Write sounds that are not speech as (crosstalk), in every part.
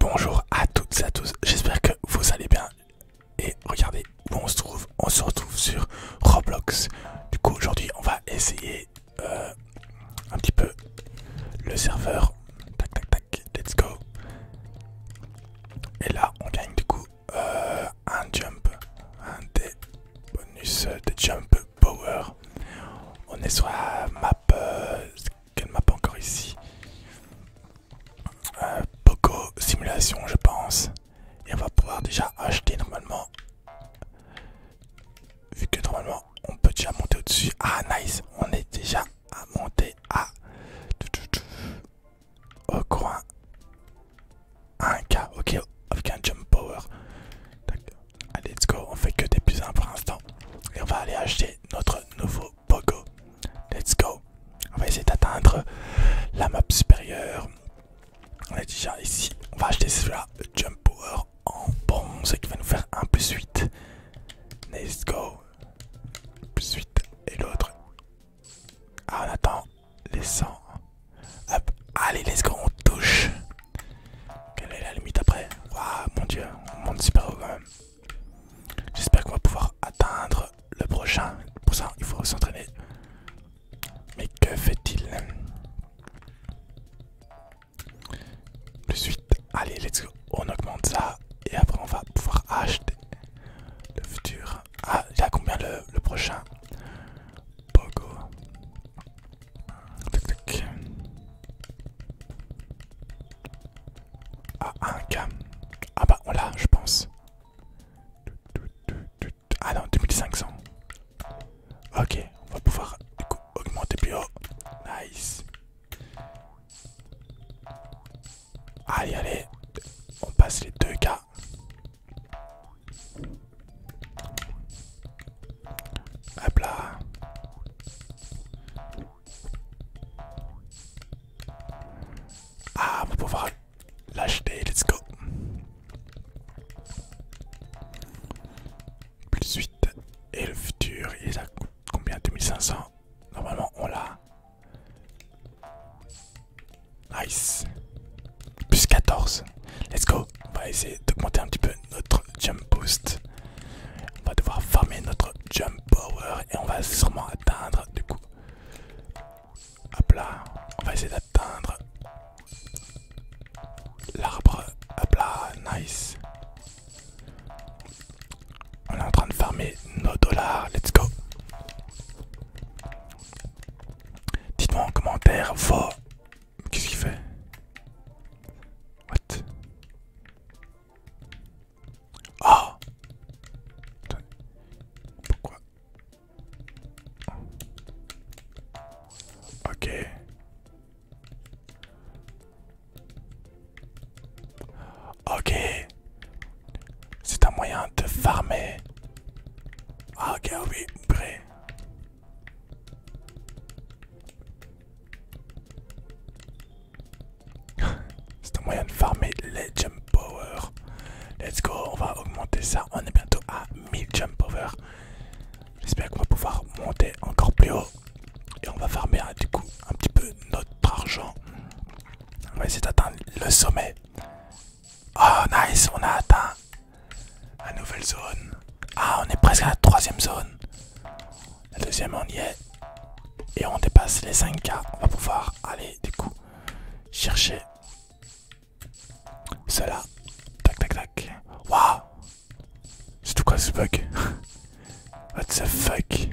Bonjour à toutes et à tous, j'espère que vous allez bien et regardez où on se trouve, on se retrouve sur Roblox. Du coup aujourd'hui on va essayer euh, un petit peu le serveur. Tac tac tac, let's go. Et là on gagne du coup euh, un jump, un des bonus de jump power. On est sur la map euh, quelle pas encore ici beaucoup Poco Simulation, je pense. Et on va pouvoir déjà acheter normalement. Vu que normalement on peut déjà monter au-dessus. Ah, nice, on est déjà à monter à. Au coin. 1k, ok, avec un jump power. Allez, let's go, on fait que des plus 1 pour l'instant. Et on va aller acheter notre nouveau pogo. Let's go. On va essayer d'atteindre la map supérieure. On est déjà ici. On va acheter celui-là, Jump Power en bronze qui va nous faire un plus 8. Let's go. Plus 8 et l'autre. Ah, on attend les 100. Hop, allez, let's go, on touche. Quelle est la limite après Waouh, mon dieu, on monte super haut quand même j'espère qu'on va pouvoir atteindre le prochain. Pour ça, il faut s'entraîner. Mais que fait-il Plus suite, allez, let's go. On augmente ça et après on va pouvoir acheter le futur. Ah, il y a combien le, prochain Pogo. Ah, 1k, Ah bah, on l'a, je pense. Ah non, 2500. Ok, on va pouvoir augmenter plus haut. Nice. Allez, allez. On passe les 2K. Hop là. Ah, on va pouvoir l'acheter, let's go. Plus 8. Et le futur, il a à combien 2500 Normalement, on l'a. Nice. Plus 14. Let's go. On va essayer d'augmenter un petit peu notre jump boost. On va devoir farmer notre jump power et on va sûrement atteindre du coup. Hop là, on va essayer d'atteindre l'arbre. Hop là, nice. On est en train de farmer nos dollars, let's go. Dites-moi en commentaire vos Qu'est-ce qu'il fait What Oh Pourquoi Ok. Ok. C'est un moyen de farmer. Ah, ok, oui, prêt. (laughs) C'est un moyen de farmer les jump power. Let's go, on va augmenter ça. On est bientôt à 1000 jump power. J'espère qu'on va pouvoir monter encore plus haut. Et on va farmer hein, du coup un petit peu notre argent. On va essayer d'atteindre le sommet. Oh nice, on a atteint la nouvelle zone. Ah, on est presque à la troisième zone. La deuxième, on y est. Et on dépasse les 5K. On va pouvoir aller, du coup, chercher cela. Tac, tac, tac. Waouh! C'est tout quoi ce bug? (laughs) What the fuck?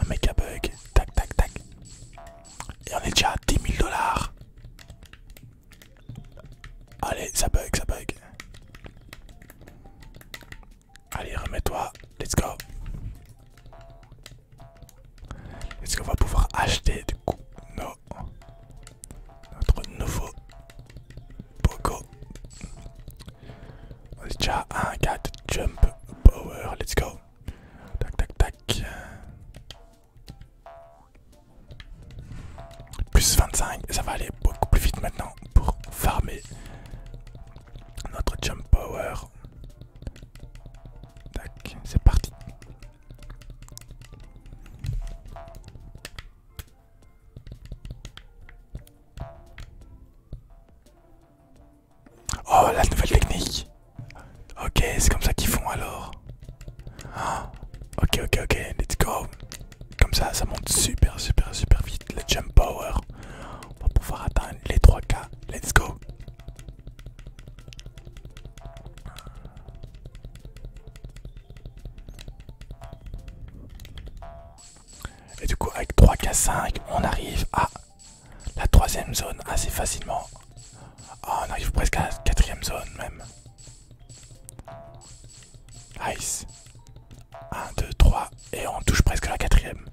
Un méga bug. Tac, tac, tac. Et on est déjà à 10 000 dollars. Allez, ça bug, ça bug. Allez, remets-toi. Let's go. Est-ce qu'on va pouvoir acheter du coup notre nouveau Poco On est déjà 1, 4, jump, power, let's go. Tac, tac, tac. Plus 25, ça va aller beaucoup plus vite maintenant pour farmer notre jump power. Tac, c'est parti. Oh la nouvelle technique Ok, c'est comme ça qu'ils font alors. Ah, ok, ok, ok, let's go. Comme ça, ça monte super, super, super vite. Le jump power. On va pouvoir atteindre les 3K. Let's go. Et du coup, avec 3K5, on arrive à la troisième zone assez facilement. Ah, on arrive presque à la quatrième zone même. Ice. Un, deux, trois, Et on touche presque la quatrième.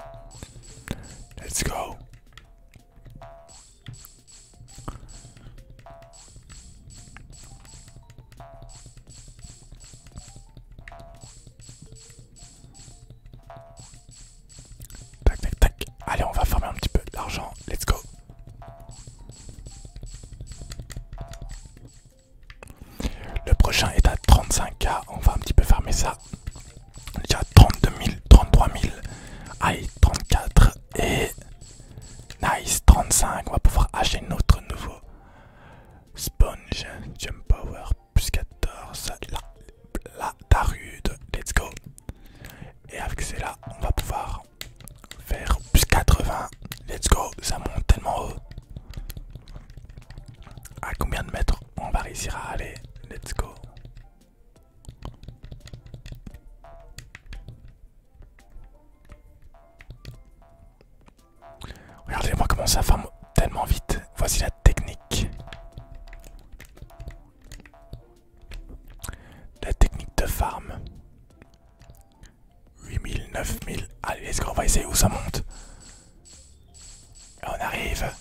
Let's go. Tac, tac, tac. Allez, on va fermer un petit peu l'argent. Let's go. Le prochain est à 35K. On va un petit peu fermer ça. déjà à 32 000, 33 000. Aïe, 34. Et nice, 35. On va pouvoir acheter notre nouveau sponge. Jump power, plus 14. la tarude. Let's go. Et avec cela, on va pouvoir faire plus 80. Let's go, ça monte tellement haut. À combien de mètres on va réussir à aller Let's go. Regardez-moi comment ça forme tellement vite. Voici la technique. La technique de farm. 8000, 9000. Allez, let's go, on va essayer où ça monte. on arrive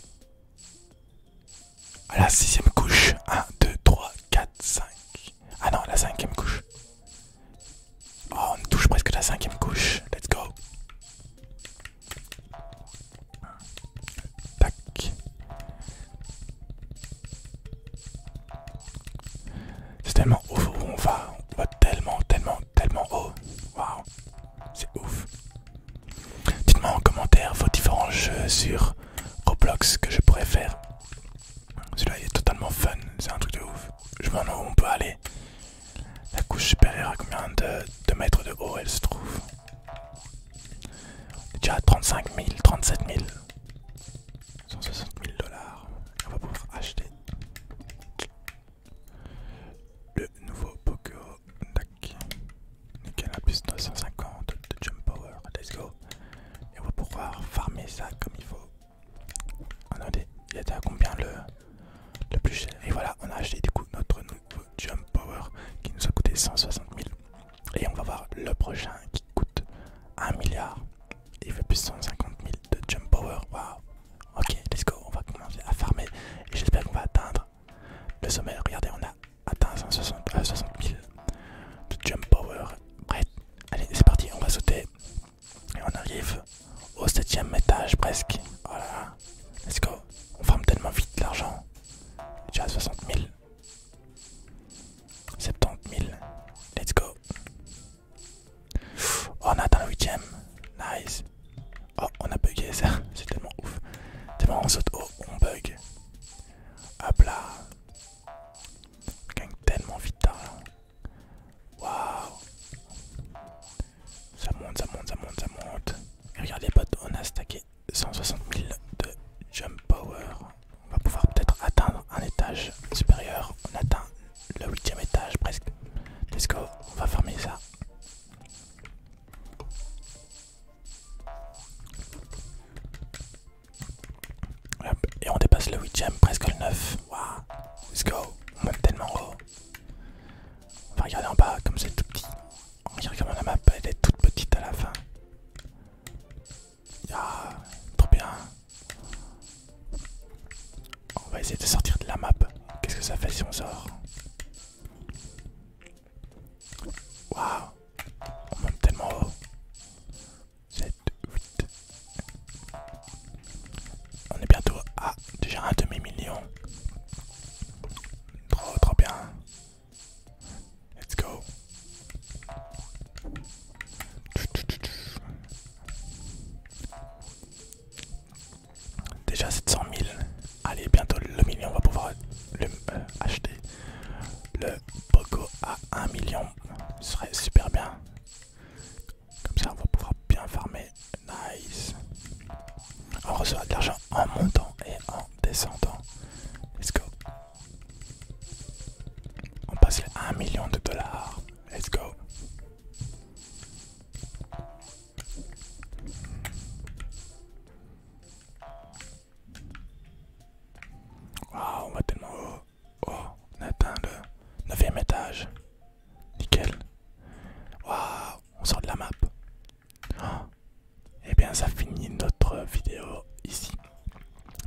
à la sixième couche. 1, 2, 3, 4, 5. Ah non, la cinquième couche. Oh, on touche presque la cinquième couche. Let's go. C'est tellement ouf où on va. On va tellement, tellement, tellement haut. Waouh. C'est ouf. Dites-moi en commentaire vos différents jeux sur Roblox que je pourrais faire. Celui-là est totalement fun. C'est un truc de ouf. Je me demande où on peut aller. La couche supérieure à combien de mètres de haut elle se trouve on est déjà à 35 000, 37 000, 160 000 dollars. On va pouvoir acheter le nouveau Pokéo. DAC Nickel, 950 de Jump Power. Let's go. Et on va pouvoir farmer ça comme il faut. Attendez, il était à combien le, plus cher Et voilà, on a acheté du coup notre nouveau Jump Power qui nous a coûté 160 000. Et on va voir le prochain qui coûte 1 milliard. Il fait plus de 150 000 de Jump Power. Waouh! Ok, let's go. On va commencer à farmer. Et j'espère qu'on va atteindre le sommet. Regardez, on a atteint 160 000 euh, de Jump Power. Prêt? Allez, c'est parti. On va sauter. Et on arrive au septième étage presque. Voilà. Let's go. On farme tellement vite l'argent. tu as 60 000. 70 000. Let's go. Oh, on atteint le 8 ème Nice. Oh, on a bugué ça. C'est tellement ouf. Tellement on saute haut, on bug. Hop là. On gagne tellement vite d'argent. Hein. Waouh. Ça monte, ça monte, ça monte, ça monte. regardez, potes, on a stacké 160 000 de jump power. On va pouvoir peut-être atteindre un étage supérieur. On atteint le huitième étage presque. Let's go, on va fermer ça. et on dépasse le 8ème, presque le 9. Waouh, let's go, on monte tellement haut. On va regarder en bas comme c'est tout petit. On regarde comme la map, elle est toute petite à la fin. Ah, trop bien. On va essayer de sortir de la map. Qu'est-ce que ça fait si on sort Waouh On monte tellement haut. 7, 8. On est bientôt à déjà un demi-million. Trop trop bien. Let's go. Déjà 700 000. Allez, bientôt le million, on va pouvoir le, euh, acheter le Poco à un million. Ce serait super bien. Comme ça, on va pouvoir bien farmer. Nice. On reçoit de l'argent en montant et en descendant. Let's go. On passe les 1 million de dollars. Let's go. Waouh, on va tellement oh, on atteint le 9ème étage. Nickel. Waouh, on sort de la map. Et eh bien, ça finit notre vidéo ici.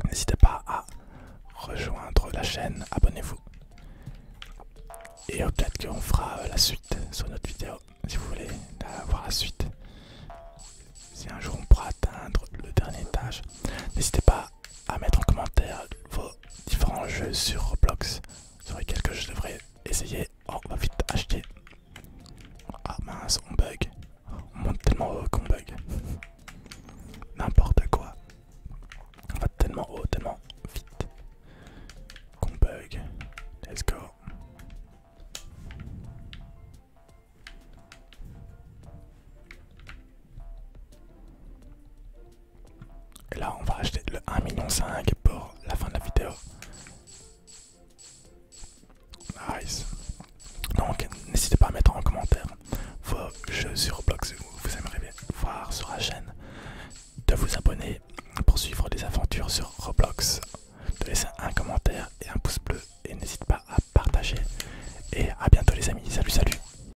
N'hésitez pas à rejoindre la chaîne, abonnez-vous. Et peut-être qu'on fera euh, la suite sur notre vidéo, si vous voulez avoir la suite. Si un jour on pourra atteindre le dernier étage, n'hésitez pas à mettre en commentaire vos différents jeux sur Roblox sur lesquels que je devrais essayer. Oh, on va vite acheter. Ah mince, on bug. On monte tellement haut qu'on bug. N'importe quoi. On va tellement haut, tellement vite qu'on bug. Let's go. Et là, on va acheter le 1,5 million pour la fin de la vidéo. Nice. Donc, n'hésitez pas à mettre en commentaire vos jeux sur Roblox que vous aimeriez voir sur la chaîne. De vous abonner pour suivre les aventures sur Roblox. De laisser un commentaire et un pouce bleu. Et n'hésitez pas à partager. Et à bientôt les amis. Salut, salut.